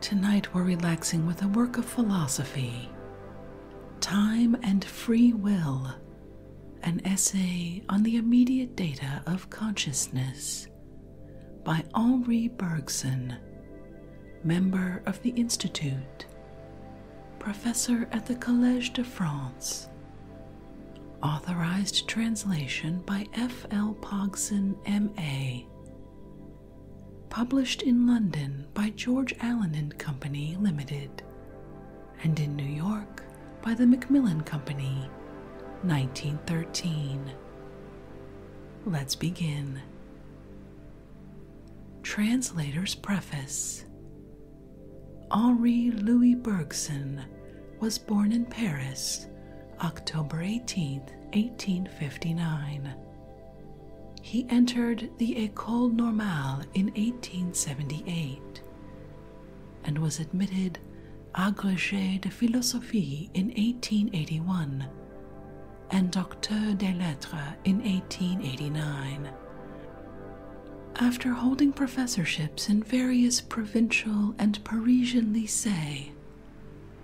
Tonight we're relaxing with a work of philosophy, Time and Free Will, an essay on the immediate data of consciousness by Henri Bergson, member of the Institute, professor at the Collège de France. Authorized translation by F. L. Pogson, M.A published in London by George Allen and Company Limited, and in New York by the Macmillan Company, 1913. Let's begin. Translator's Preface Henri Louis Bergson was born in Paris October 18, 1859. He entered the Ecole Normale in 1878 and was admitted agrégé de philosophie in 1881 and Docteur des Lettres in 1889. After holding professorships in various provincial and Parisian lycées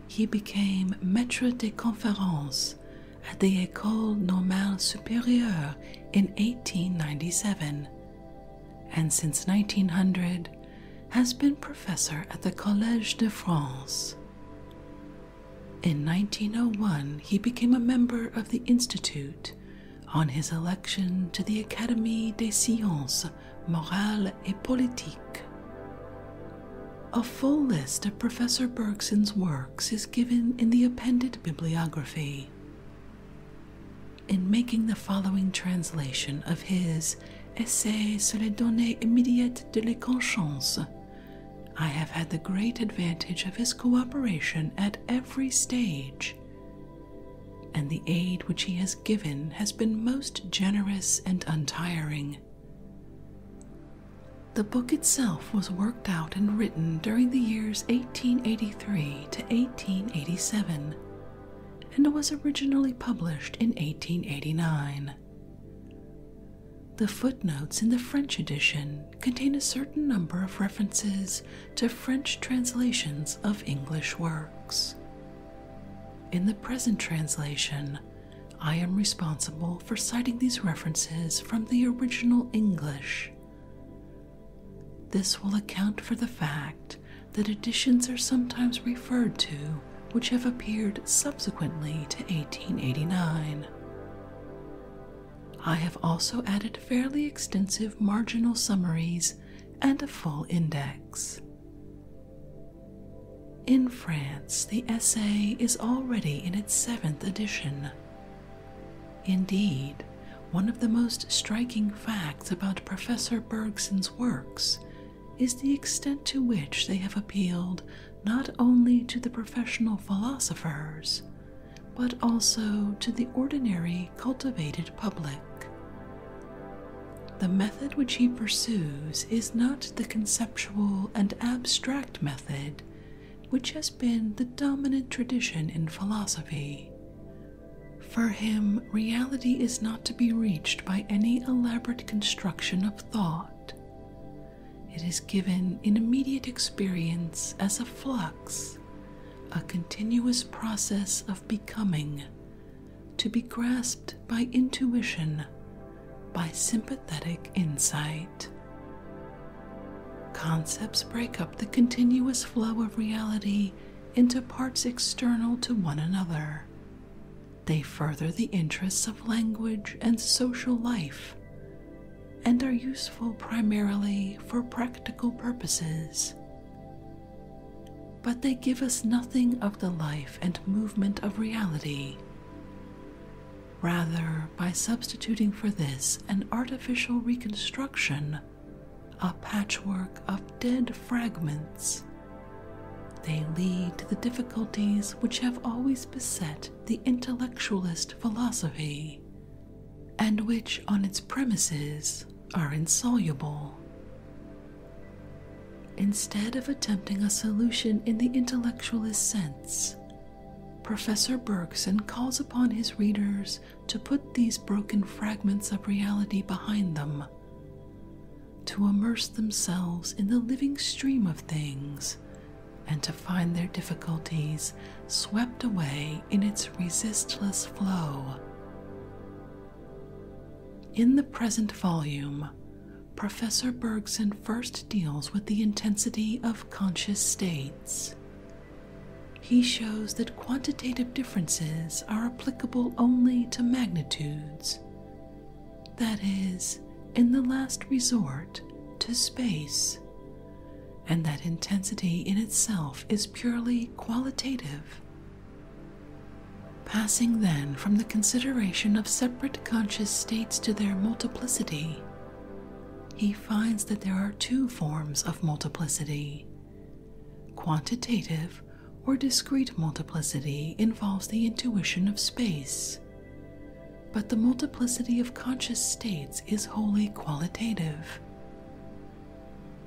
he became maître de conférences at the École Normale Supérieure in 1897, and since 1900 has been professor at the Collège de France. In 1901, he became a member of the Institute on his election to the Académie des Sciences Morales et Politiques. A full list of Professor Bergson's works is given in the appended bibliography. In making the following translation of his Essai sur les données immédiates de la conscience, I have had the great advantage of his cooperation at every stage, and the aid which he has given has been most generous and untiring. The book itself was worked out and written during the years 1883 to 1887 and was originally published in 1889. The footnotes in the French edition contain a certain number of references to French translations of English works. In the present translation, I am responsible for citing these references from the original English. This will account for the fact that editions are sometimes referred to which have appeared subsequently to 1889. I have also added fairly extensive marginal summaries and a full index. In France, the essay is already in its seventh edition. Indeed, one of the most striking facts about Professor Bergson's works is the extent to which they have appealed not only to the professional philosophers, but also to the ordinary cultivated public. The method which he pursues is not the conceptual and abstract method method, which has been the dominant tradition in philosophy. For him, reality is not to be reached by any elaborate construction of thought. It is given in immediate experience as a flux, a continuous process of becoming, to be grasped by intuition, by sympathetic insight. Concepts break up the continuous flow of reality into parts external to one another. They further the interests of language and social life and are useful primarily for practical purposes. But they give us nothing of the life and movement of reality. Rather, by substituting for this an artificial reconstruction, a patchwork of dead fragments, they lead to the difficulties which have always beset the intellectualist philosophy, and which on its premises are insoluble. Instead of attempting a solution in the intellectualist sense, Professor Bergson calls upon his readers to put these broken fragments of reality behind them, to immerse themselves in the living stream of things, and to find their difficulties swept away in its resistless flow. In the present volume, Professor Bergson first deals with the intensity of conscious states. He shows that quantitative differences are applicable only to magnitudes, that is, in the last resort, to space, and that intensity in itself is purely qualitative. Passing then from the consideration of separate conscious states to their multiplicity, he finds that there are two forms of multiplicity. Quantitative or discrete multiplicity involves the intuition of space, but the multiplicity of conscious states is wholly qualitative.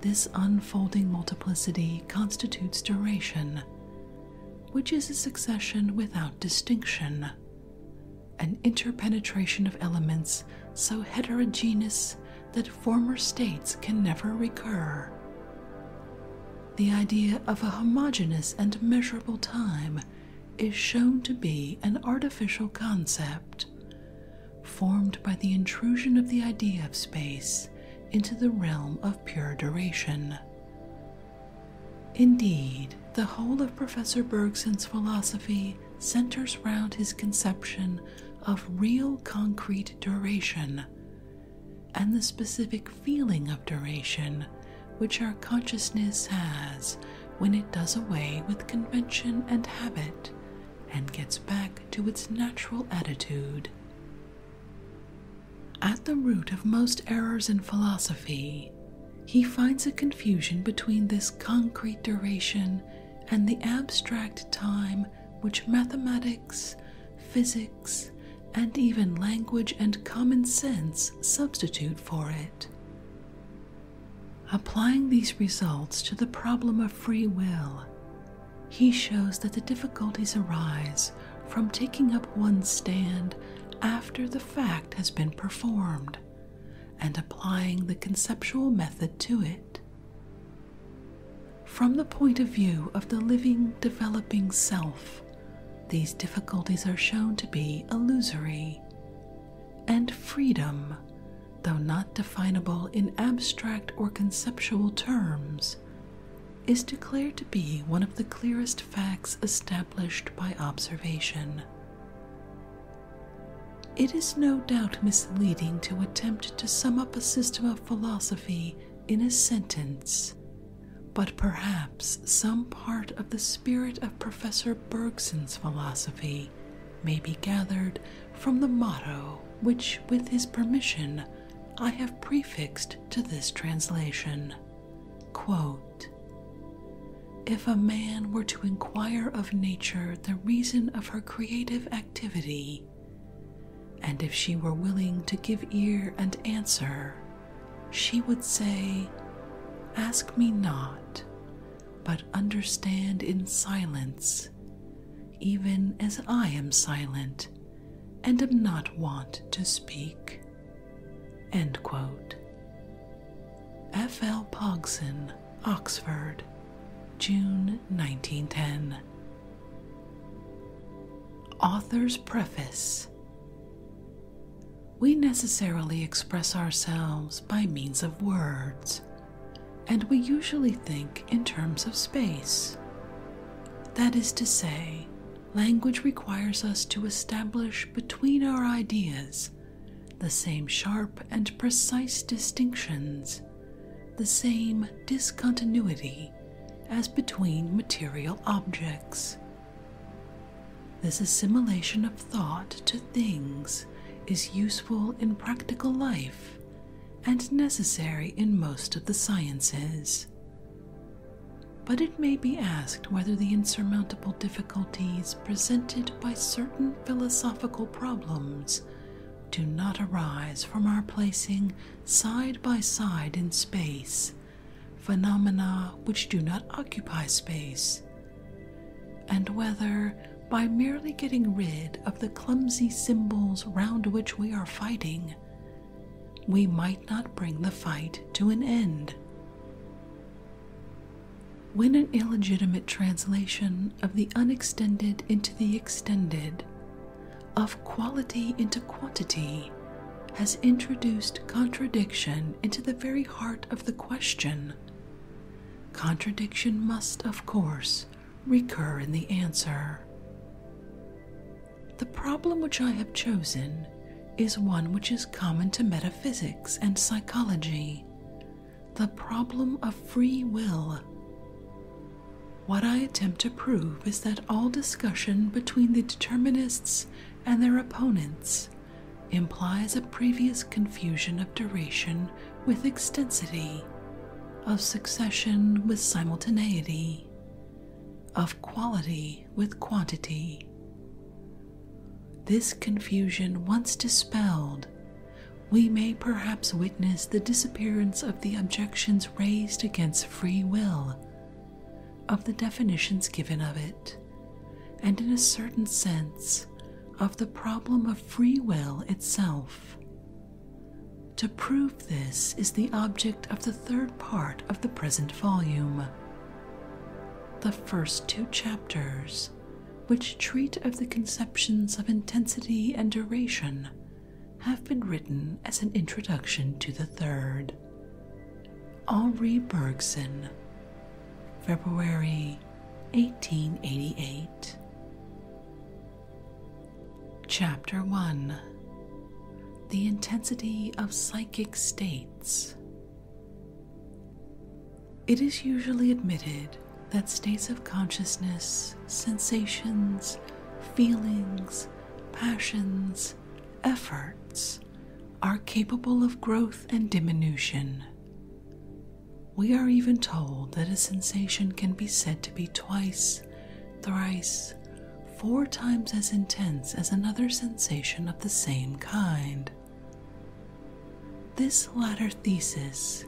This unfolding multiplicity constitutes duration, which is a succession without distinction, an interpenetration of elements so heterogeneous that former states can never recur. The idea of a homogeneous and measurable time is shown to be an artificial concept, formed by the intrusion of the idea of space into the realm of pure duration. Indeed, the whole of Professor Bergson's philosophy centers round his conception of real concrete duration and the specific feeling of duration which our consciousness has when it does away with convention and habit and gets back to its natural attitude. At the root of most errors in philosophy he finds a confusion between this concrete duration and the abstract time which mathematics, physics, and even language and common sense substitute for it. Applying these results to the problem of free will, he shows that the difficulties arise from taking up one stand after the fact has been performed and applying the conceptual method to it. From the point of view of the living, developing self, these difficulties are shown to be illusory, and freedom, though not definable in abstract or conceptual terms, is declared to be one of the clearest facts established by observation. It is no doubt misleading to attempt to sum up a system of philosophy in a sentence, but perhaps some part of the spirit of Professor Bergson's philosophy may be gathered from the motto which, with his permission, I have prefixed to this translation. Quote, if a man were to inquire of nature the reason of her creative activity, and if she were willing to give ear and answer, she would say, Ask me not, but understand in silence, even as I am silent and am not wont to speak. End quote. F. L. Pogson, Oxford, June 1910. Author's Preface We necessarily express ourselves by means of words, and we usually think in terms of space. That is to say, language requires us to establish between our ideas the same sharp and precise distinctions, the same discontinuity as between material objects. This assimilation of thought to things is useful in practical life and necessary in most of the sciences but it may be asked whether the insurmountable difficulties presented by certain philosophical problems do not arise from our placing side by side in space phenomena which do not occupy space, and whether by merely getting rid of the clumsy symbols round which we are fighting, we might not bring the fight to an end. When an illegitimate translation of the unextended into the extended, of quality into quantity, has introduced contradiction into the very heart of the question, contradiction must, of course, recur in the answer. The problem which I have chosen is one which is common to metaphysics and psychology the problem of free will. What I attempt to prove is that all discussion between the determinists and their opponents implies a previous confusion of duration with extensity, of succession with simultaneity, of quality with quantity, this confusion once dispelled, we may perhaps witness the disappearance of the objections raised against free will, of the definitions given of it, and in a certain sense, of the problem of free will itself. To prove this is the object of the third part of the present volume, the first two chapters, which treat of the conceptions of intensity and duration, have been written as an introduction to the third. Henri Bergson, February 1888. Chapter 1 The Intensity of Psychic States it is usually admitted that states of consciousness, sensations, feelings, passions, efforts are capable of growth and diminution. We are even told that a sensation can be said to be twice, thrice, four times as intense as another sensation of the same kind. This latter thesis,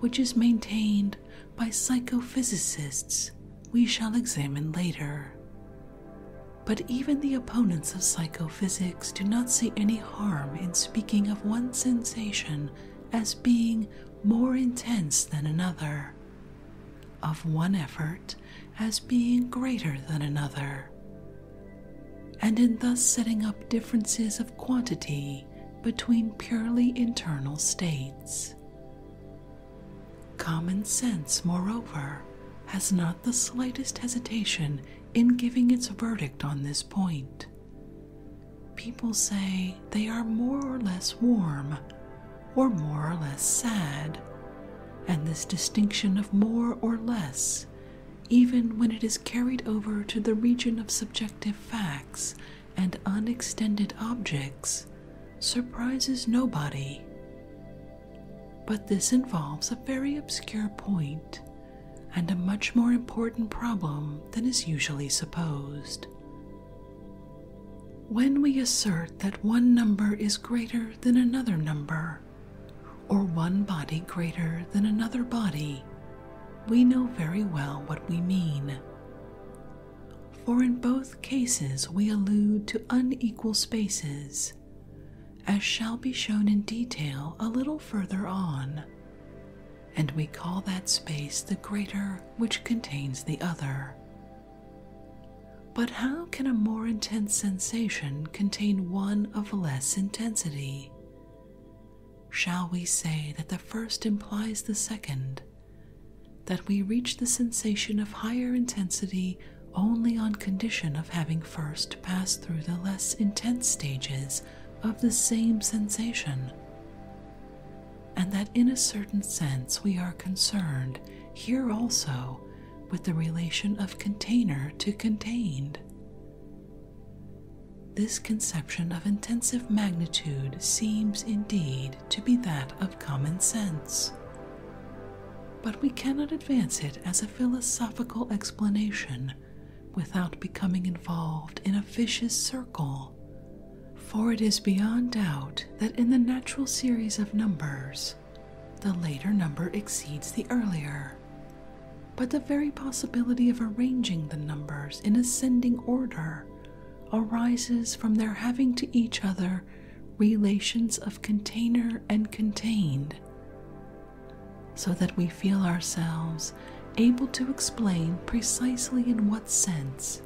which is maintained by psychophysicists, we shall examine later. But even the opponents of psychophysics do not see any harm in speaking of one sensation as being more intense than another, of one effort as being greater than another, and in thus setting up differences of quantity between purely internal states. Common sense, moreover, has not the slightest hesitation in giving its verdict on this point. People say they are more or less warm, or more or less sad, and this distinction of more or less even when it is carried over to the region of subjective facts and unextended objects, surprises nobody. But this involves a very obscure point and a much more important problem than is usually supposed. When we assert that one number is greater than another number, or one body greater than another body, we know very well what we mean. For in both cases we allude to unequal spaces, as shall be shown in detail a little further on, and we call that space the greater which contains the other. But how can a more intense sensation contain one of less intensity. Shall we say that the first implies the second? That we reach the sensation of higher intensity only on condition of having first passed through the less intense stages of the same sensation, and that in a certain sense we are concerned here also with the relation of container to contained, this conception of intensive magnitude seems indeed to be that of common sense, but we cannot advance it as a philosophical explanation without becoming involved in a vicious circle, for it is beyond doubt that in the natural series of numbers, the later number exceeds the earlier, but the very possibility of arranging the numbers in ascending order arises from their having to each other relations of container and contained, so that we feel ourselves able to explain precisely in what sense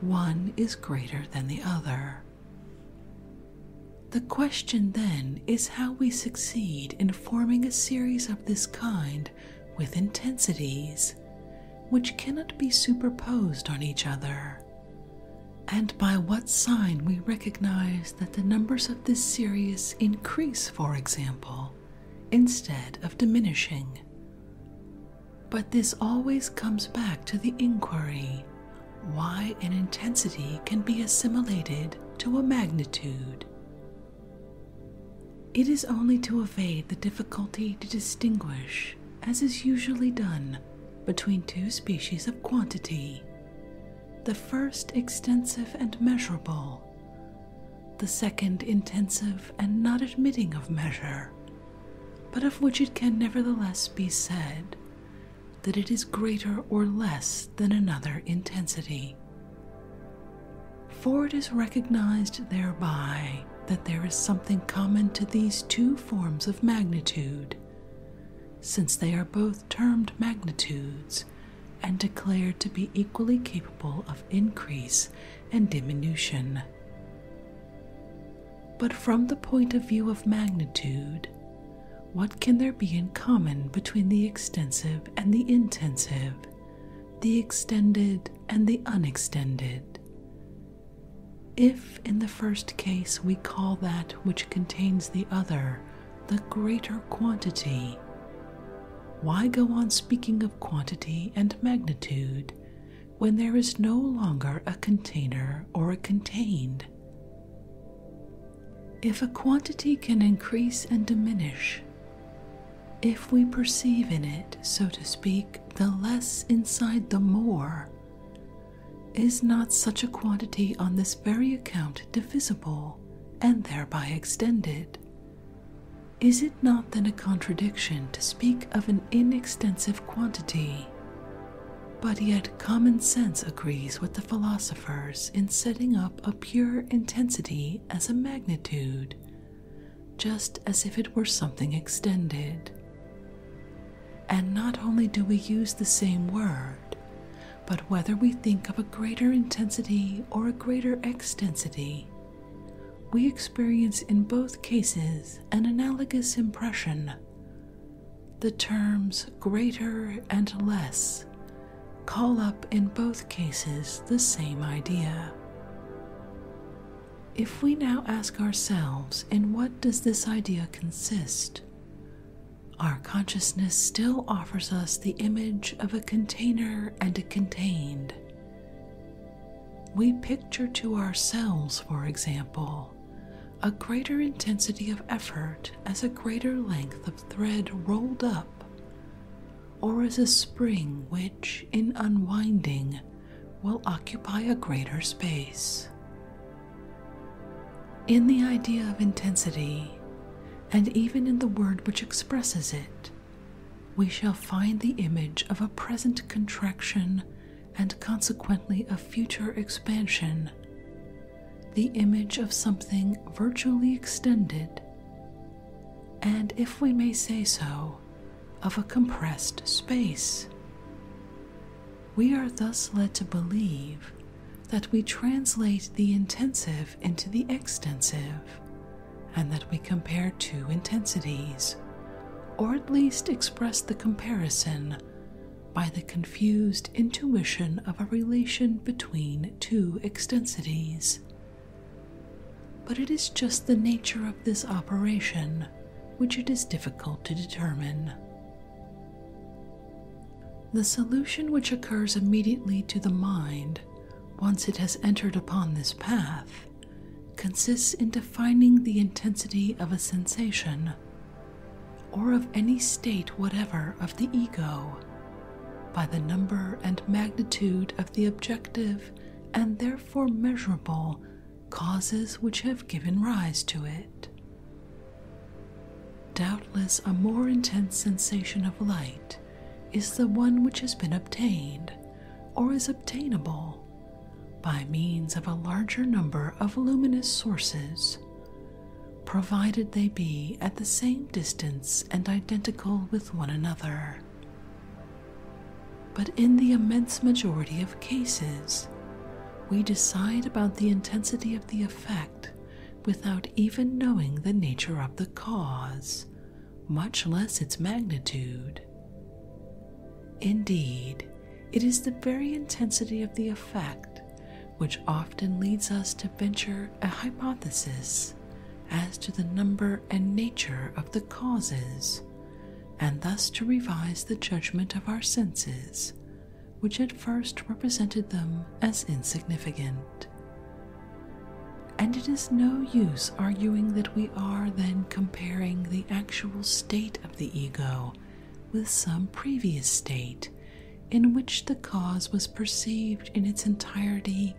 one is greater than the other. The question then is how we succeed in forming a series of this kind with intensities, which cannot be superposed on each other, and by what sign we recognize that the numbers of this series increase, for example, instead of diminishing. But this always comes back to the inquiry why an intensity can be assimilated to a magnitude. It is only to evade the difficulty to distinguish, as is usually done, between two species of quantity the first extensive and measurable, the second intensive and not admitting of measure, but of which it can nevertheless be said that it is greater or less than another intensity. For it is recognized thereby that there is something common to these two forms of magnitude, since they are both termed magnitudes and declared to be equally capable of increase and diminution. But from the point of view of magnitude, what can there be in common between the extensive and the intensive, the extended and the unextended? If in the first case we call that which contains the other the greater quantity, why go on speaking of quantity and magnitude when there is no longer a container or a contained? If a quantity can increase and diminish, if we perceive in it, so to speak, the less inside the more, is not such a quantity on this very account divisible and thereby extended? Is it not then a contradiction to speak of an inextensive quantity? But yet common sense agrees with the philosophers in setting up up a pure intensity as a magnitude, just as if it were something extended. And not only do we use the same word, but whether we think of a greater intensity or a greater extensity, we experience in both cases an analogous impression. The terms greater and less call up in both cases the same idea. If we now ask ourselves, in what does this idea consist? Our consciousness still offers us the image of a container and a contained. We picture to ourselves, for example, a greater intensity of effort as a greater length of thread rolled up or as a spring which, in unwinding, will occupy a greater space. In the idea of intensity, and even in the word which expresses it, we shall find the image of a present contraction and consequently a future expansion the image of something virtually extended, and if we may say so, of a compressed space. We are thus led to believe that we translate the intensive into the extensive, and that we compare two intensities, or at least express the comparison by the confused intuition of a relation between two extensities. But it is just the nature of this operation which it is difficult to determine. The solution which occurs immediately to the mind, once it has entered upon this path, consists in defining the intensity of a sensation, or of any state whatever of the ego by the number and magnitude of the objective and therefore measurable causes which have given rise to it. Doubtless, a more intense sensation of light is the one which has been obtained, or is obtainable, by means of a larger number of luminous sources, provided they be at the same distance and identical with one another. But in the immense majority of cases, we decide about the intensity of the effect without even knowing the nature of the cause, much less its magnitude. Indeed, it is the very intensity of the effect which often leads us to venture a hypothesis as to the number and nature of the causes, and thus to revise the judgment of our senses, which at first represented them as insignificant. And it is no use arguing that we are then comparing the actual state of the ego with some previous state in which the cause was perceived in its entirety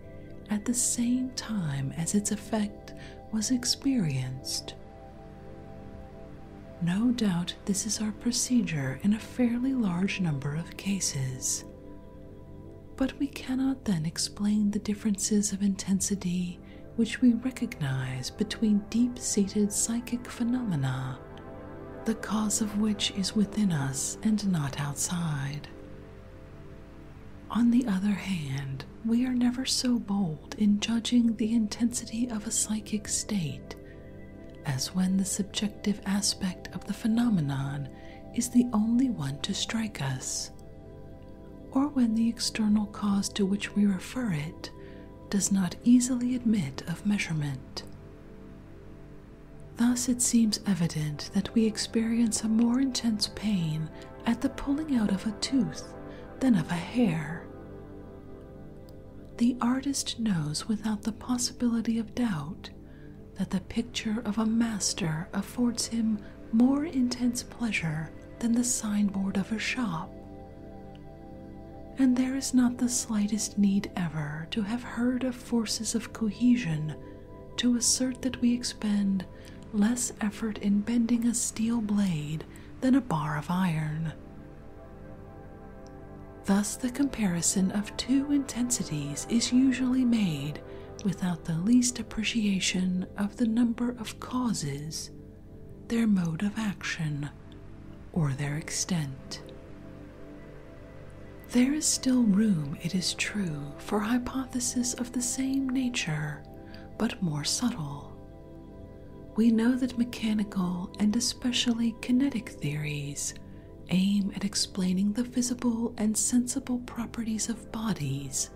at the same time as its effect was experienced. No doubt this is our procedure in a fairly large number of cases. But we cannot then explain the differences of intensity which we recognize between deep seated psychic phenomena the cause of which is within us and not outside. On the other hand, we are never so bold in judging the intensity of a psychic state as when the subjective aspect of the phenomenon is the only one to strike us, or when the external cause to which we refer it does not easily admit of measurement. Thus, it seems evident that we experience a more intense pain at the pulling out of a tooth than of a hair. The artist knows without the possibility of doubt that the picture of a master affords him more intense pleasure than the signboard of a shop. And there is not the slightest need ever to have heard of forces of cohesion to assert that we expend less effort in bending a steel blade than a bar of iron. Thus, the comparison of two intensities is usually made without the least appreciation of the number of causes, their mode of action, or their extent. There is still room, it is true, for hypotheses of the same nature, but more subtle. We know that mechanical and especially kinetic theories aim at explaining the visible and sensible properties of bodies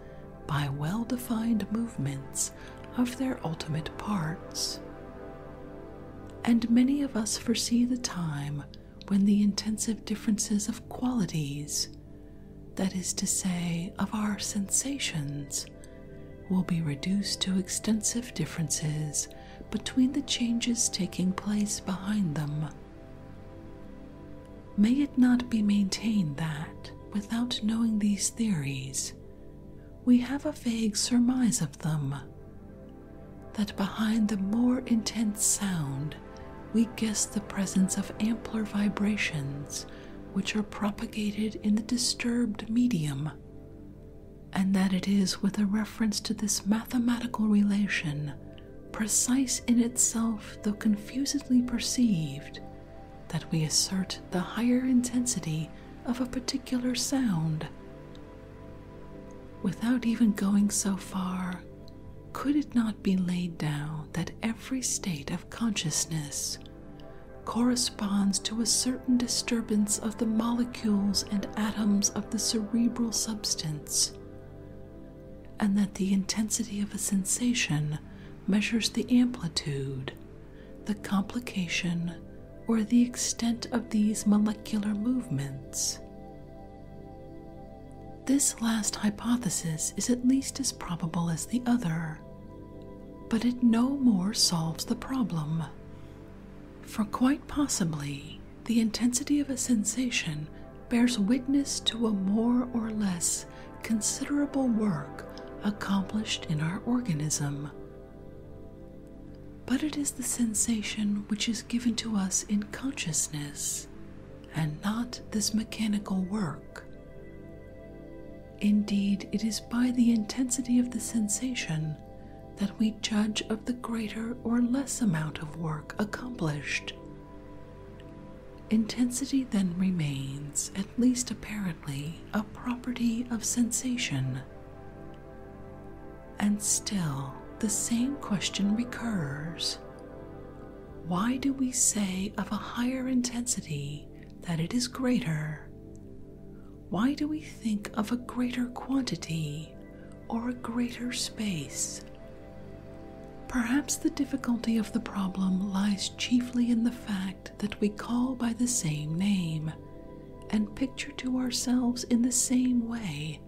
by well defined movements of their ultimate parts. And many of us foresee the time when the intensive differences of qualities, that is to say, of our sensations, will be reduced to extensive differences between the changes taking place behind them. May it not be maintained that, without knowing these theories, we have a vague surmise of them, that behind the more intense sound we guess the presence of ampler vibrations which are propagated in the disturbed medium, and that it is with a reference to this mathematical relation, precise in itself though confusedly perceived, that we assert the higher intensity of a particular sound. Without even going so far, could it not be laid down that every state of consciousness corresponds to a certain disturbance of the molecules and atoms of the cerebral substance, and that the intensity of a sensation measures the amplitude, the complication, or the extent of these molecular movements? This last hypothesis is at least as probable as the other, but it no more solves the problem. For quite possibly, the intensity of a sensation bears witness to a more or less considerable work accomplished in our organism. But it is the sensation which is given to us in consciousness and not this mechanical work. Indeed, it is by the intensity of the sensation that we judge of the greater or less amount of work accomplished. Intensity then remains, at least apparently, a property of sensation. And still, the same question recurs Why do we say of a higher intensity that it is greater? Why do we think of a greater quantity or a greater space? Perhaps the difficulty of the problem lies chiefly in the fact that we call by the same name and picture to ourselves in the same way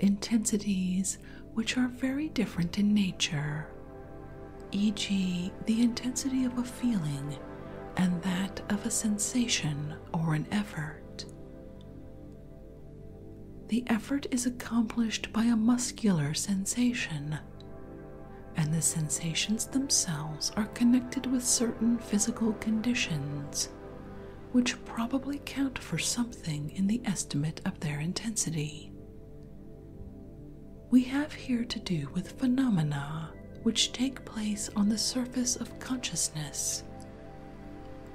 intensities which are very different in nature, e.g., the intensity of a feeling and that of a sensation or an effort. The effort is accomplished by a muscular sensation, and the sensations themselves are connected with certain physical conditions, which probably count for something in the estimate of their intensity. We have here to do with phenomena which take place on the surface of consciousness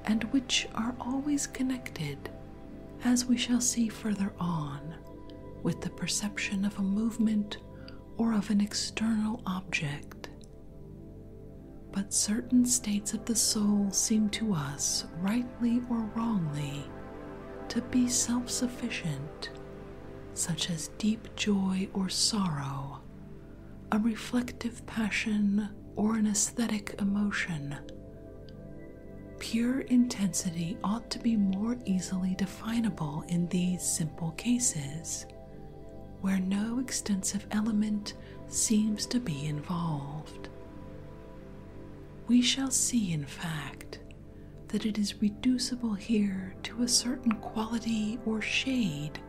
and which are always connected, as we shall see further on, with the perception of a movement or of an external object but certain states of the soul seem to us, rightly or wrongly, to be self sufficient, such as deep joy or sorrow, a reflective passion or an aesthetic emotion. Pure intensity ought to be more easily definable in these simple cases, where no extensive element seems to be involved. We shall see, in fact, that it is reducible here to a certain quality or shade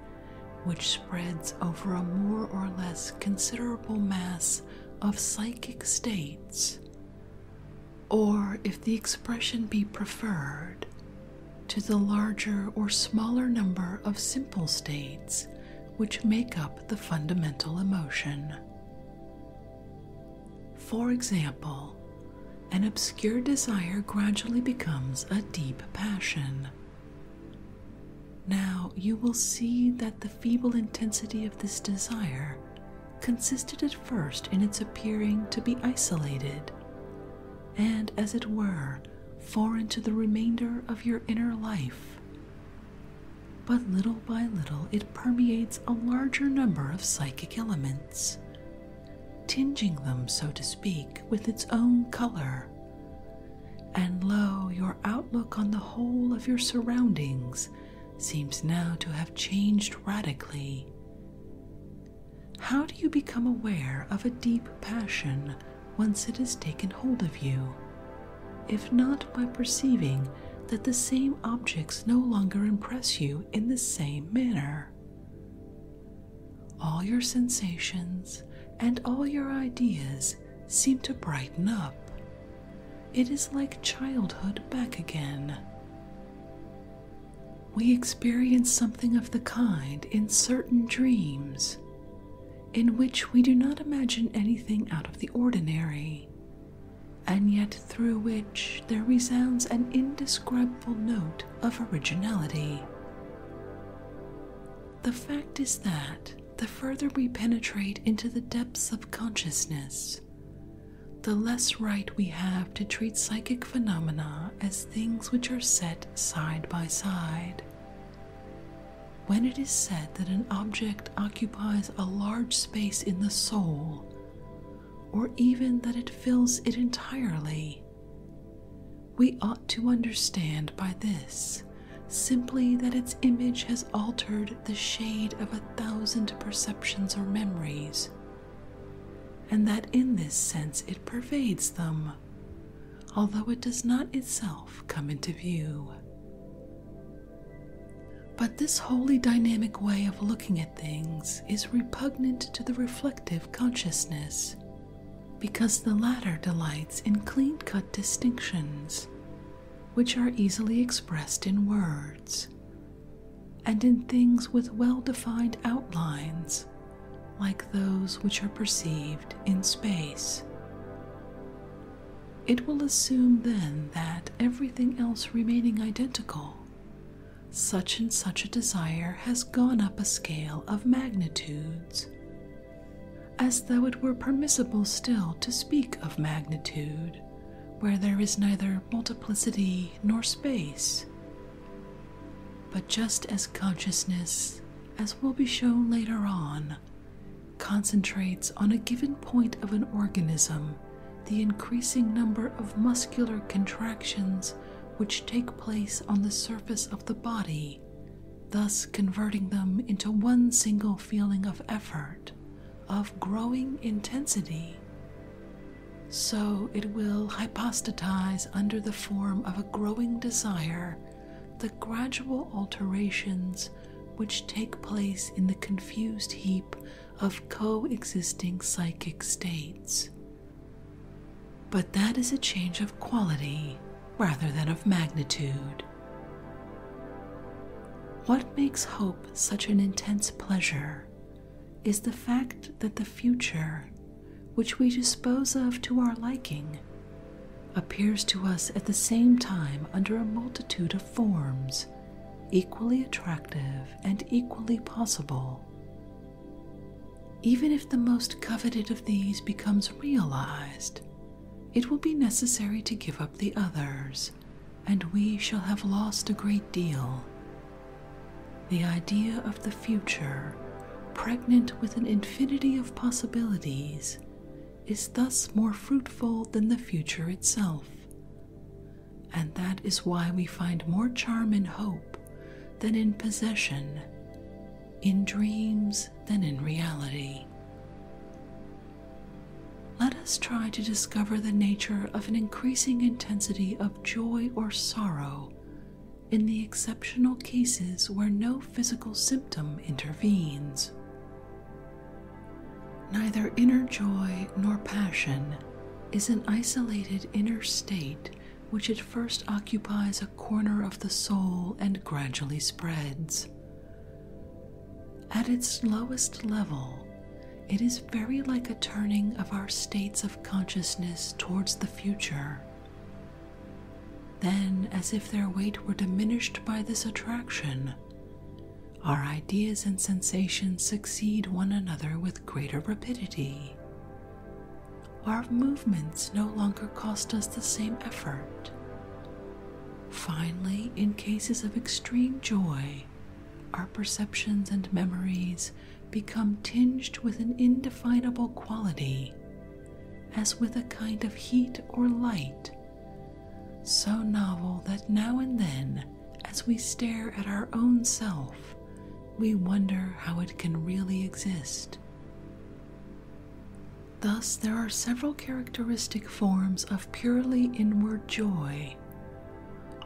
which spreads over a more or less considerable mass of psychic states, or if the expression be preferred, to the larger or smaller number of simple states which make up the fundamental emotion. For example, an obscure desire gradually becomes a deep passion. Now you will see that the feeble intensity of this desire consisted at first in its appearing to be isolated and, as it were, foreign to the remainder of your inner life, but little by little, it permeates a larger number of psychic elements, tinging them, so to speak, with its own color. And lo, your outlook on the whole of your surroundings seems now to have changed radically. How do you become aware of a deep passion once it has taken hold of you, if not by perceiving that the same objects no longer impress you in the same manner. All your sensations and all your ideas seem to brighten up. It is like childhood back again. We experience something of the kind in certain dreams in which we do not imagine anything out of the ordinary, and yet through which there resounds an indescribable note of originality. The fact is that the further we penetrate into the depths of consciousness, the less right we have to treat psychic phenomena as things which are set side by side when it is said that an object occupies a large space in the soul, or even that it fills it entirely, we ought to understand by this simply that its image has altered the shade of a thousand perceptions or memories, and that in this sense it pervades them, although it does not itself come into view. But this wholly dynamic way of looking at things is repugnant to the reflective consciousness, because the latter delights in clean cut distinctions, which are easily expressed in words, and in things with well defined outlines, like those which are perceived in space. It will assume then that, everything else remaining identical, such and such a desire has gone up a scale of magnitudes, as though it were permissible still to speak of magnitude where there is neither multiplicity nor space. But just as consciousness, as will be shown later on, concentrates on a given point of an organism the increasing number of muscular contractions which take place on the surface of the body, thus converting them into one single feeling of effort, of growing intensity. So it will hypostatize under the form of a growing desire the gradual alterations which take place in the confused heap of coexisting psychic states. But that is a change of quality rather than of magnitude. What makes hope such an intense pleasure is the fact that the future, which we dispose of to our liking, appears to us at the same time under a multitude of forms, equally attractive and equally possible. Even if the most coveted of these becomes realized, it will be necessary to give up the others, and we shall have lost a great deal. The idea of the future, pregnant with an infinity of possibilities, is thus more fruitful than the future itself. And that is why we find more charm in hope than in possession, in dreams than in reality. Let us try to discover the nature of an increasing intensity of joy or sorrow in the exceptional cases where no physical symptom intervenes. Neither inner joy nor passion is an isolated inner state which at first occupies a corner of the soul and gradually spreads. At its lowest level, it is very like a turning of our states of consciousness towards the future. Then, as if their weight were diminished by this attraction, our ideas and sensations succeed one another with greater rapidity. Our movements no longer cost us the same effort. Finally, in cases of extreme joy, our perceptions and memories become tinged with an indefinable quality, as with a kind of heat or light so novel that now and then, as we stare at our own self, we wonder how it can really exist. Thus, there are several characteristic forms of purely inward joy,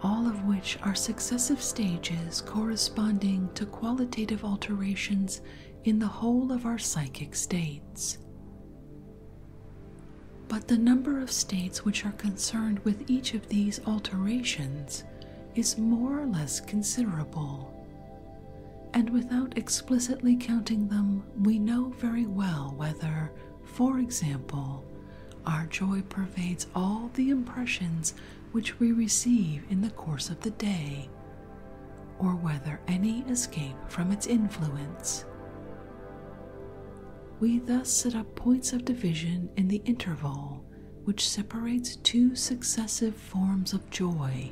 all of which are successive stages corresponding to qualitative alterations in the whole of our psychic states. But the number of states which are concerned with each of these alterations is more or less considerable, and without explicitly counting them, we know very well whether, for example, our joy pervades all the impressions which we receive in the course of the day, or whether any escape from its influence. We thus set up points of division in the interval which separates two successive forms of joy,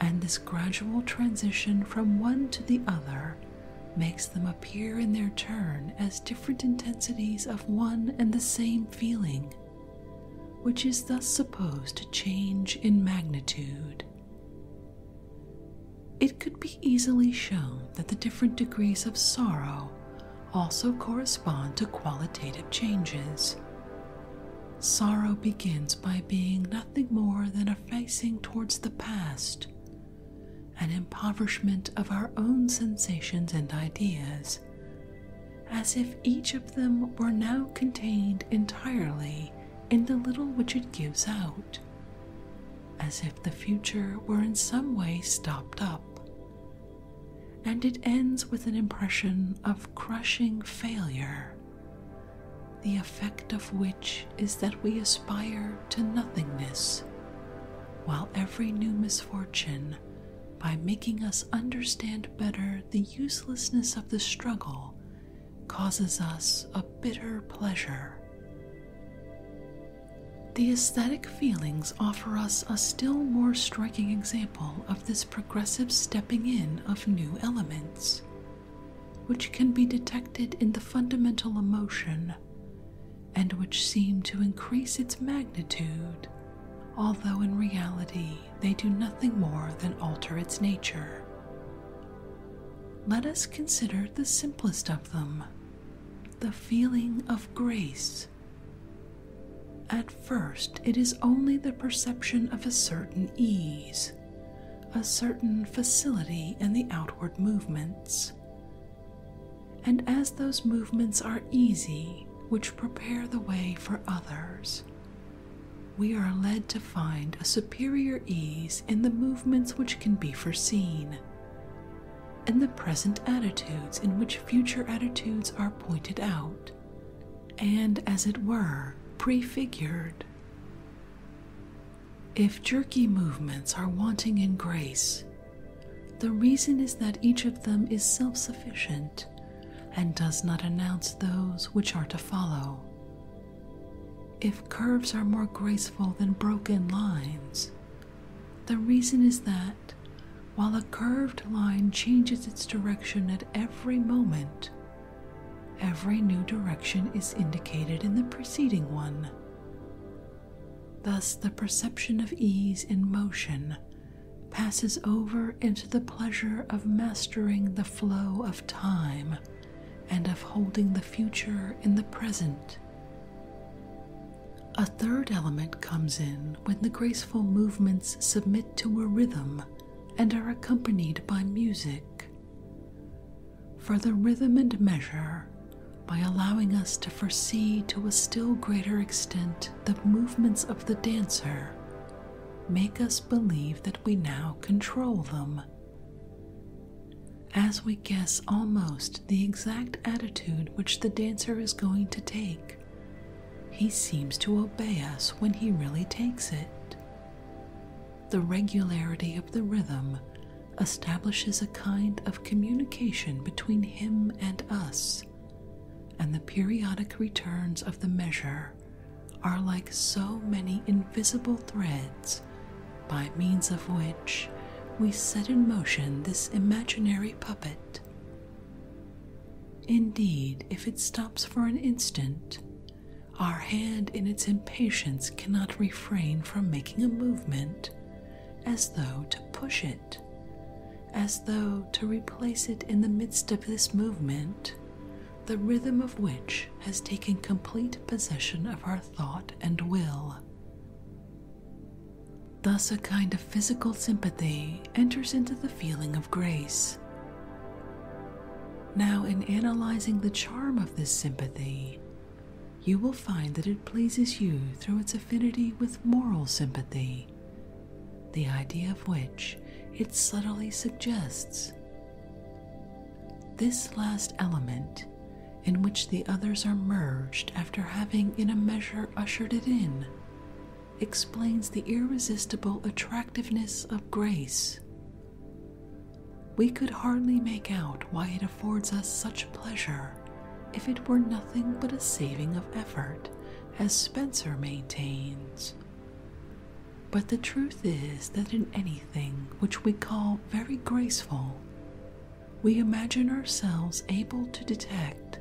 and this gradual transition from one to the other makes them appear in their turn as different intensities of one and the same feeling, which is thus supposed to change in magnitude. It could be easily shown that the different degrees of sorrow also correspond to qualitative changes. Sorrow begins by being nothing more than a facing towards the past, an impoverishment of our own sensations and ideas, as if each of them were now contained entirely in the little which it gives out as if the future were in some way stopped up. And it ends with an impression of crushing failure, the effect of which is that we aspire to nothingness, while every new misfortune, by making us understand better the uselessness of the struggle, causes us a bitter pleasure. The aesthetic feelings offer us a still more striking example of this progressive stepping in of new elements, which can be detected in the fundamental emotion and which seem to increase its magnitude, although in reality they do nothing more than alter its nature. Let us consider the simplest of them the feeling of grace. At first, it is only the perception of a certain ease, a certain facility in the outward movements. And as those movements are easy, which prepare the way for others, we are led to find a superior ease in the movements which can be foreseen, in the present attitudes in which future attitudes are pointed out, and, as it were, prefigured. If jerky movements are wanting in grace, the reason is that each of them is self sufficient and does not announce those which are to follow. If curves are more graceful than broken lines, the reason is that while a curved line changes its direction at every moment, every new direction is indicated in the preceding one. Thus, the perception of ease in motion passes over into the pleasure of mastering the flow of time and of holding the future in the present. A third element comes in when the graceful movements submit to a rhythm and are accompanied by music. For the rhythm and measure, by allowing us to foresee to a still greater extent the movements of the dancer, make us believe that we now control them. As we guess almost the exact attitude which the dancer is going to take, he seems to obey us when he really takes it. The regularity of the rhythm establishes a kind of communication between him and us, and the periodic returns of the measure are like so many invisible threads by means of which we set in motion this imaginary puppet. Indeed, if it stops for an instant, our hand in its impatience cannot refrain from making a movement as though to push it, as though to replace it in the midst of this movement, the rhythm of which has taken complete possession of our thought and will. Thus, a kind of physical sympathy enters into the feeling of grace. Now, in analyzing the charm of this sympathy, you will find that it pleases you through its affinity with moral sympathy, the idea of which it subtly suggests. This last element, in which the others are merged after having in a measure ushered it in, explains the irresistible attractiveness of grace. We could hardly make out why it affords us such pleasure if it were nothing but a saving of effort, as Spencer maintains. But the truth is that in any which we call very graceful, we imagine ourselves able to detect,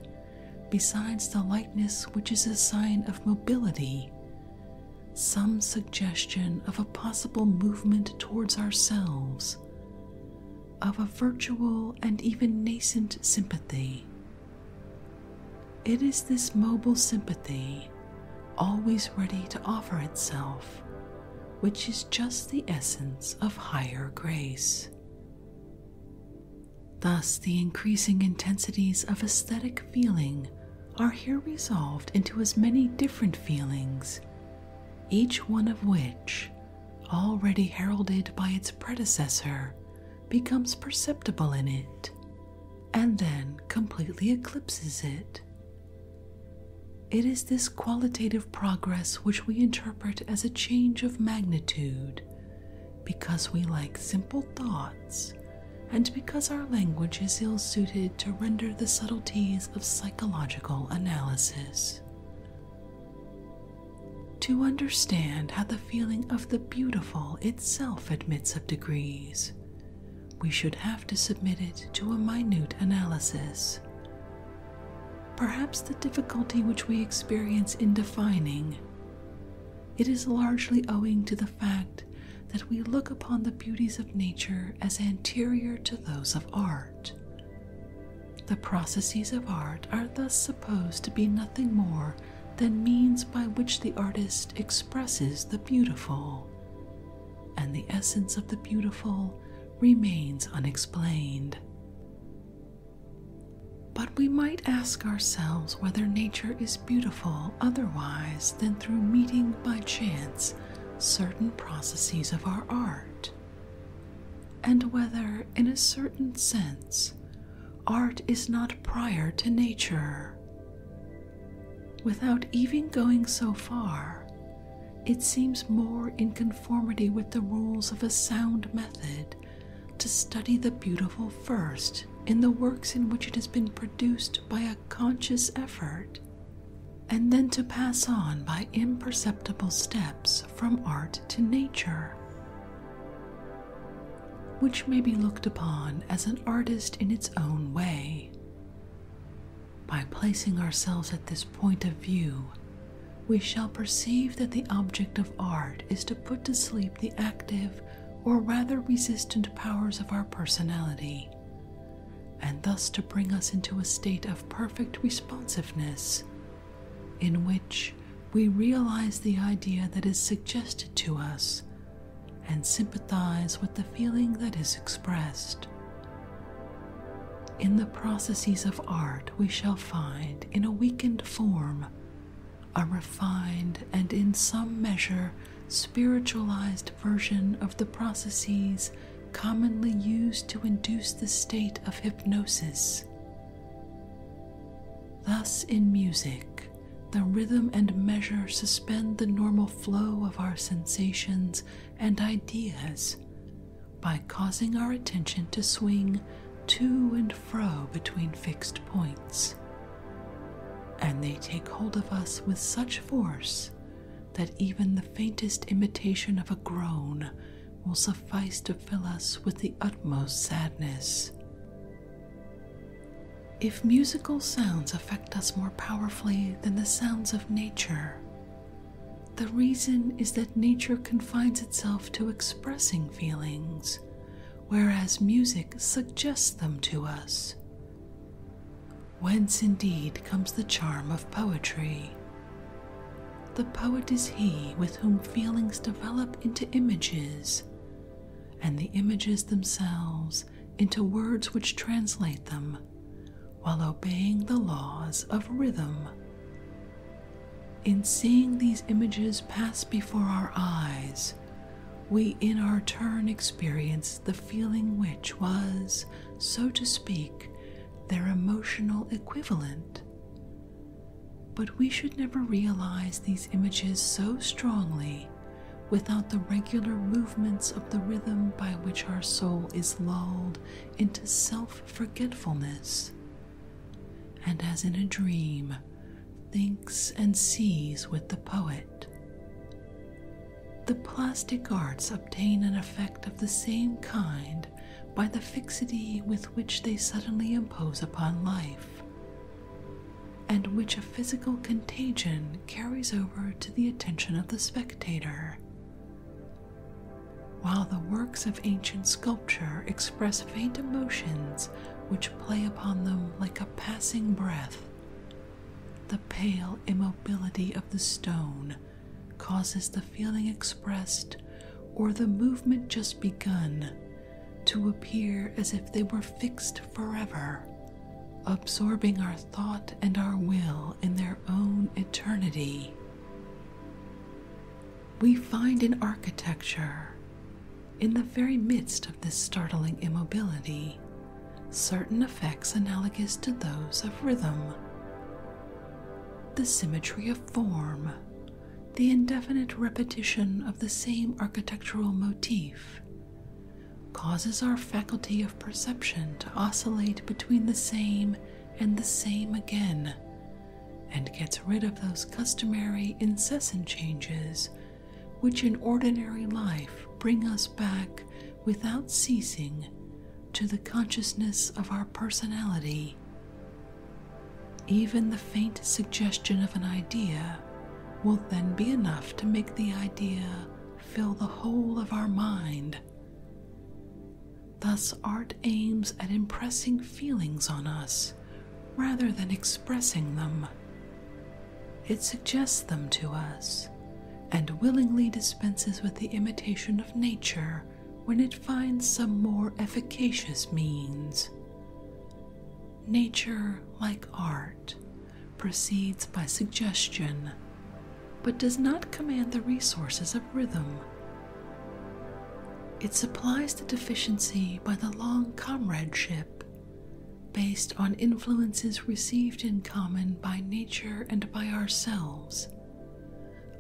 besides the lightness which is a sign of mobility, some suggestion of a possible movement towards ourselves, of a virtual and even nascent sympathy. It is this mobile sympathy always ready to offer itself, which is just the essence of higher grace. Thus, the increasing intensities of aesthetic feeling are here resolved into as many different feelings, each one of which, already heralded by its predecessor, becomes perceptible in it, and then completely eclipses it it is this qualitative progress which we interpret as a change of magnitude because we like simple thoughts and because our language is ill suited to render the subtleties of psychological analysis. To understand how the feeling of the beautiful itself admits of degrees, we should have to submit it to a minute analysis. Perhaps the difficulty which we experience in defining it is largely owing to the fact that we look upon the beauties of nature as anterior to those of art. The processes of art are thus supposed to be nothing more than means by which the artist expresses the beautiful, and the essence of the beautiful remains unexplained. But we might ask ourselves whether nature is beautiful otherwise than through meeting by chance certain processes of our art, and whether, in a certain sense, art is not prior to nature. Without even going so far, it seems more in conformity with the rules of a sound method to study the beautiful first in the works in which it has been produced by a conscious effort, and then to pass on by imperceptible steps from art to nature. Which may be looked upon as an artist in its own way. By placing ourselves at this point of view, we shall perceive that the object of art is to put to sleep the active or rather resistant powers of our personality, and thus to bring us into a state of perfect responsiveness, in which we realize the idea that is suggested to us and sympathize with the feeling that is expressed. In the processes of art, we shall find, in a weakened form, a refined and in some measure spiritualized version of the processes commonly used to induce the state of hypnosis. Thus, in music, the rhythm and measure suspend the normal flow of our sensations and ideas by causing our attention to swing to and fro between fixed points. And they take hold of us with such force that even the faintest imitation of a groan will suffice to fill us with the utmost sadness. If musical sounds affect us more powerfully than the sounds of nature, the reason is that nature confines itself to expressing feelings, whereas music suggests them to us. Whence indeed comes the charm of poetry. The poet is he with whom feelings develop into images, and the images themselves into words which translate them while obeying the laws of rhythm. In seeing these images pass before our eyes, we in our turn experience the feeling which was, so to speak, their emotional equivalent. But we should never realize these images so strongly without the regular movement movements of the rhythm by which our soul is lulled into self forgetfulness, and as in a dream, thinks and sees with the poet. The plastic arts obtain an effect of the same kind by the fixity with which they suddenly impose upon life, and which a physical contagion carries over to the attention of the spectator, while the works of ancient sculpture express faint emotions which play upon them like a passing breath, the pale immobility of the stone causes the feeling expressed or the movement just begun to appear as if they were fixed forever, absorbing our thought and our will in their own eternity. We find in architecture, in the very midst of this startling immobility, certain effects analogous to those of rhythm. The symmetry of form, the indefinite repetition of the same architectural motif, causes our faculty of perception to oscillate between the same and the same again, and gets rid of those customary incessant changes which in ordinary life bring us back without ceasing to the consciousness of our personality. Even the faint suggestion of an idea will then be enough to make the idea fill the whole of our mind. Thus, art aims at impressing feelings on us rather than expressing them. It suggests them to us and willingly dispenses with the imitation of nature when it finds some more efficacious means. Nature, like art, proceeds by suggestion but does not command the resources of rhythm. It supplies the deficiency by the long comradeship, based on influences received in common by nature and by ourselves,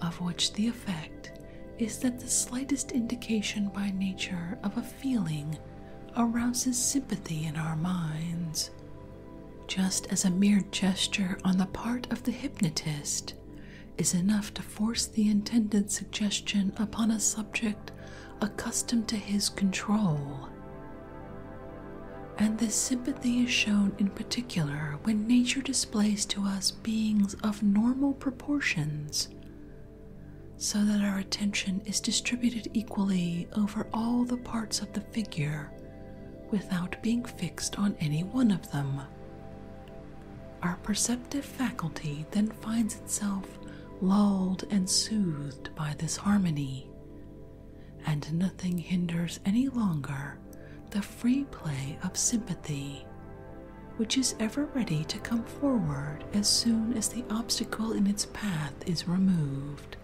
of which the effect is that the slightest indication by nature of a feeling arouses sympathy in our minds, just as a mere gesture on the part of the hypnotist is enough to force the intended suggestion upon a subject accustomed to his control. And this sympathy is shown in particular when nature displays to us beings of normal proportions, so that our attention is distributed equally over all the parts of the figure without being fixed on any one of them. Our perceptive faculty then finds itself lulled and soothed by this harmony, and nothing hinders any longer the free play of sympathy, which is ever ready to come forward as soon as the obstacle in its path is removed.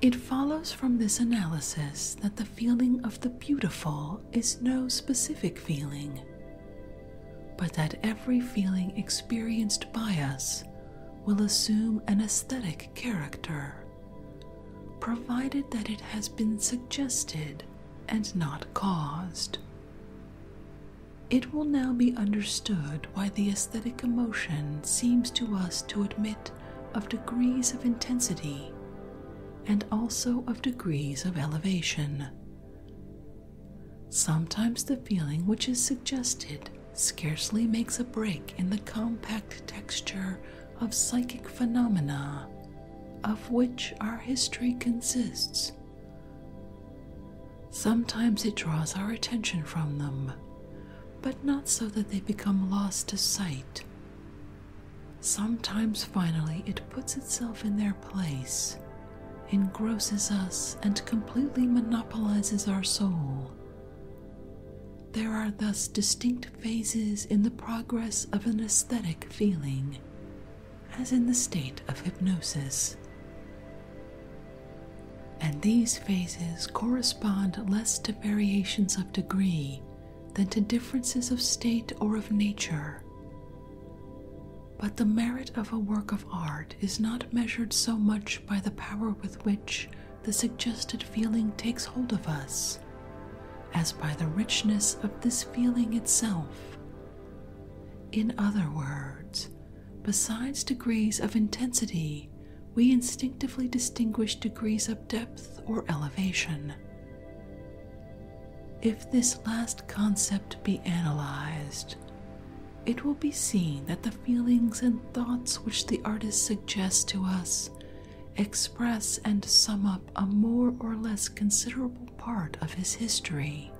It follows from this analysis that the feeling of the beautiful is no specific feeling, but that every feeling experienced by us will assume an aesthetic character, provided that it has been suggested and not caused. It will now be understood why the aesthetic emotion seems to us to admit of degrees of intensity and also of degrees of elevation. Sometimes the feeling which is suggested scarcely makes a break in the compact texture of psychic phenomena of which our history consists. Sometimes it draws our attention from them, but not so that they become lost to sight. Sometimes, finally, it puts itself in their place, engrosses us, and completely monopolizes our soul. There are thus distinct phases in the progress of an aesthetic feeling, as in the state of hypnosis. And these phases correspond less to variations of degree than to differences of state or of nature. But the merit of a work of art is not measured so much by the power with which the suggested feeling takes hold of us as by the richness of this feeling itself. In other words, besides degrees of intensity, we instinctively distinguish degrees of depth or elevation. If this last concept be analyzed, it will be seen that the feelings and thoughts which the artist suggests to us express and sum up a more or less considerable part of his history.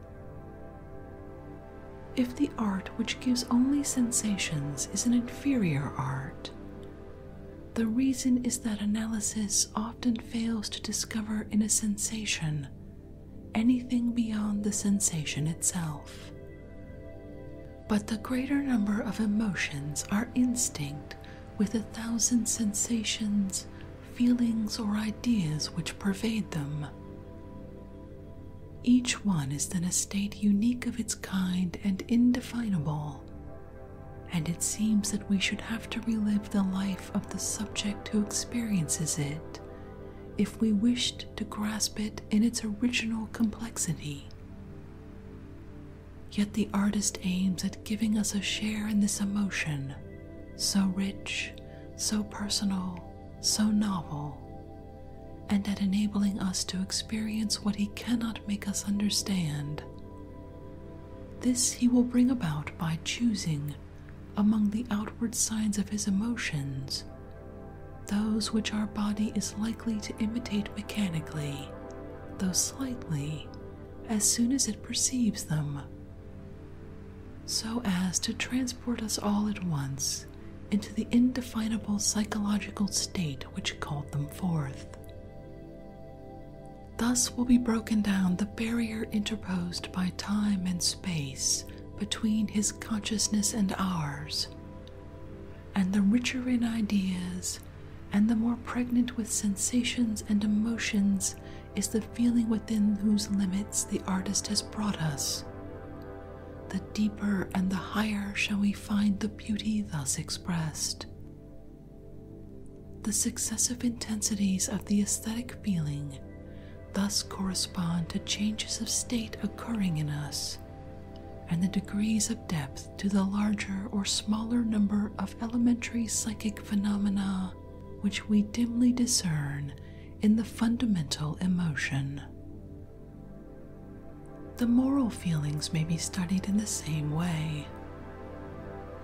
If the art which gives only sensations is an inferior art, the reason is that analysis often fails to discover in a sensation anything beyond the sensation itself. But the greater number of emotions are instinct with a thousand sensations, feelings, or ideas which pervade them. Each one is then a state unique of its kind and indefinable and it seems that we should have to relive the life of the subject who experiences it if we wished to grasp it in its original complexity. Yet the artist aims at giving us a share in this emotion, so rich, so personal, so novel, and at enabling us to experience what He cannot make us understand. This He will bring about by choosing, among the outward signs of His emotions, those which our body is likely to imitate mechanically, though slightly, as soon as it perceives them, so as to transport us all at once into the indefinable psychological state which called them forth. Thus will be broken down the barrier interposed by time and space between his consciousness and ours, and the richer in ideas and the more pregnant with sensations and emotions is the feeling within whose limits the artist has brought us. The deeper and the higher shall we find the beauty thus the successive intensities of the aesthetic feeling thus correspond to changes of state occurring in us, and the degrees of depth to the larger or smaller number of elementary psychic phenomena which we dimly discern in the fundamental emotion. The moral feelings may be studied in the same way.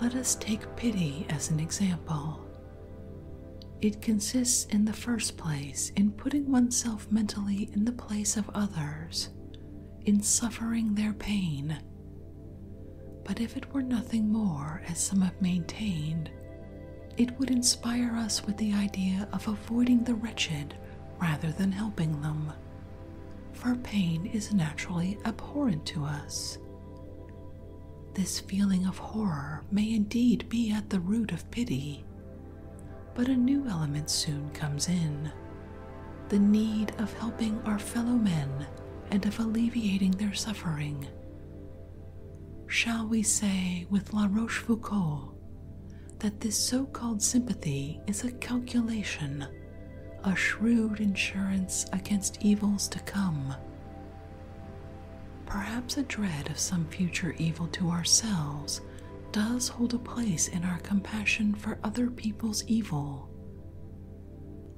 Let us take pity as an example. It consists in the first place in putting oneself mentally in the place of others, in suffering their pain. But if it were nothing more, as some have maintained, it would inspire us with the idea of avoiding the wretched rather than helping them for pain is naturally abhorrent to us. This feeling of horror may indeed be at the root of pity, but a new element soon comes in the need of helping our fellow men and of alleviating their suffering. Shall we say with La Rochefoucauld that this so called sympathy is a calculation, a shrewd insurance against evils to come. Perhaps a dread of some future evil to ourselves does hold a place in our compassion for other people's evil.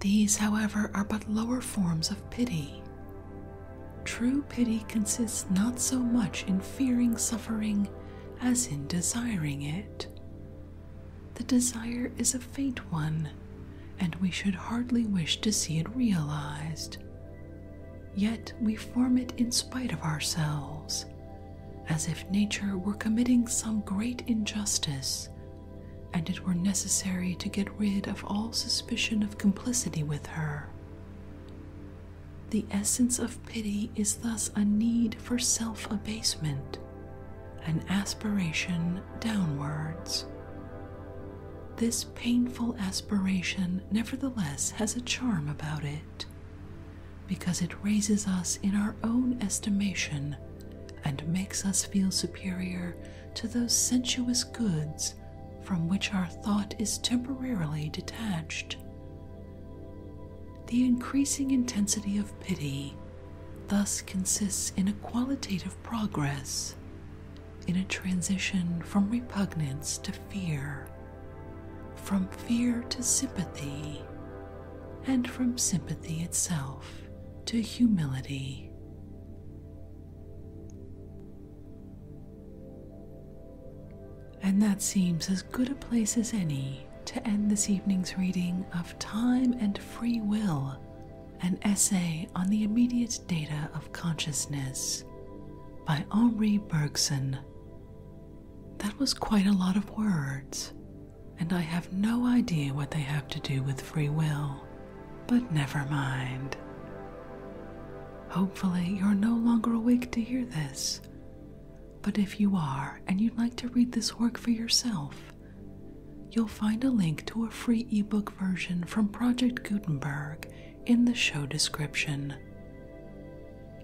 These, however, are but lower forms of pity. True pity consists not so much in fearing suffering as in desiring it. The desire is a faint one, and we should hardly wish to see it realized. Yet we form it in spite of ourselves, as if nature were committing some great injustice, and it were necessary to get rid of all suspicion of complicity with her. The essence of of pity is thus a need for self abasement, an aspiration downwards. This painful aspiration, nevertheless, has a charm about it, because it raises us in our own estimation and makes us feel superior to those sensuous goods from which our thought is temporarily detached the increasing intensity of pity thus consists in a qualitative progress, in a transition from repugnance to fear, from fear to sympathy, and from sympathy itself to humility. And that seems as good a place as any to end this evening's reading of Time and Free Will, an essay on the immediate data of consciousness by Henri Bergson. That was quite a lot of words, and I have no idea what they have to do with free will, but never mind. Hopefully, you're no longer awake to hear this, but if you are and you'd like to read this work for yourself, you'll find a link to a free ebook version from Project Gutenberg in the show description.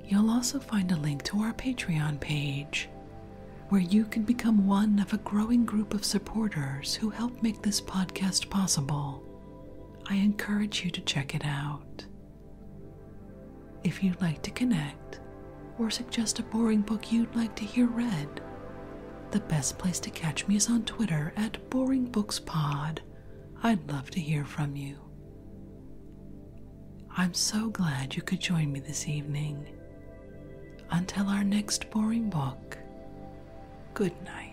You'll also find a link to our Patreon page, where you can become one of a growing group of supporters who help make this podcast possible. I encourage you to check it out. If you'd like to connect or suggest a boring book you'd like to hear read, the best place to catch me is on Twitter at Boring Books Pod. I'd love to hear from you. I'm so glad you could join me this evening. Until our next boring book, good night.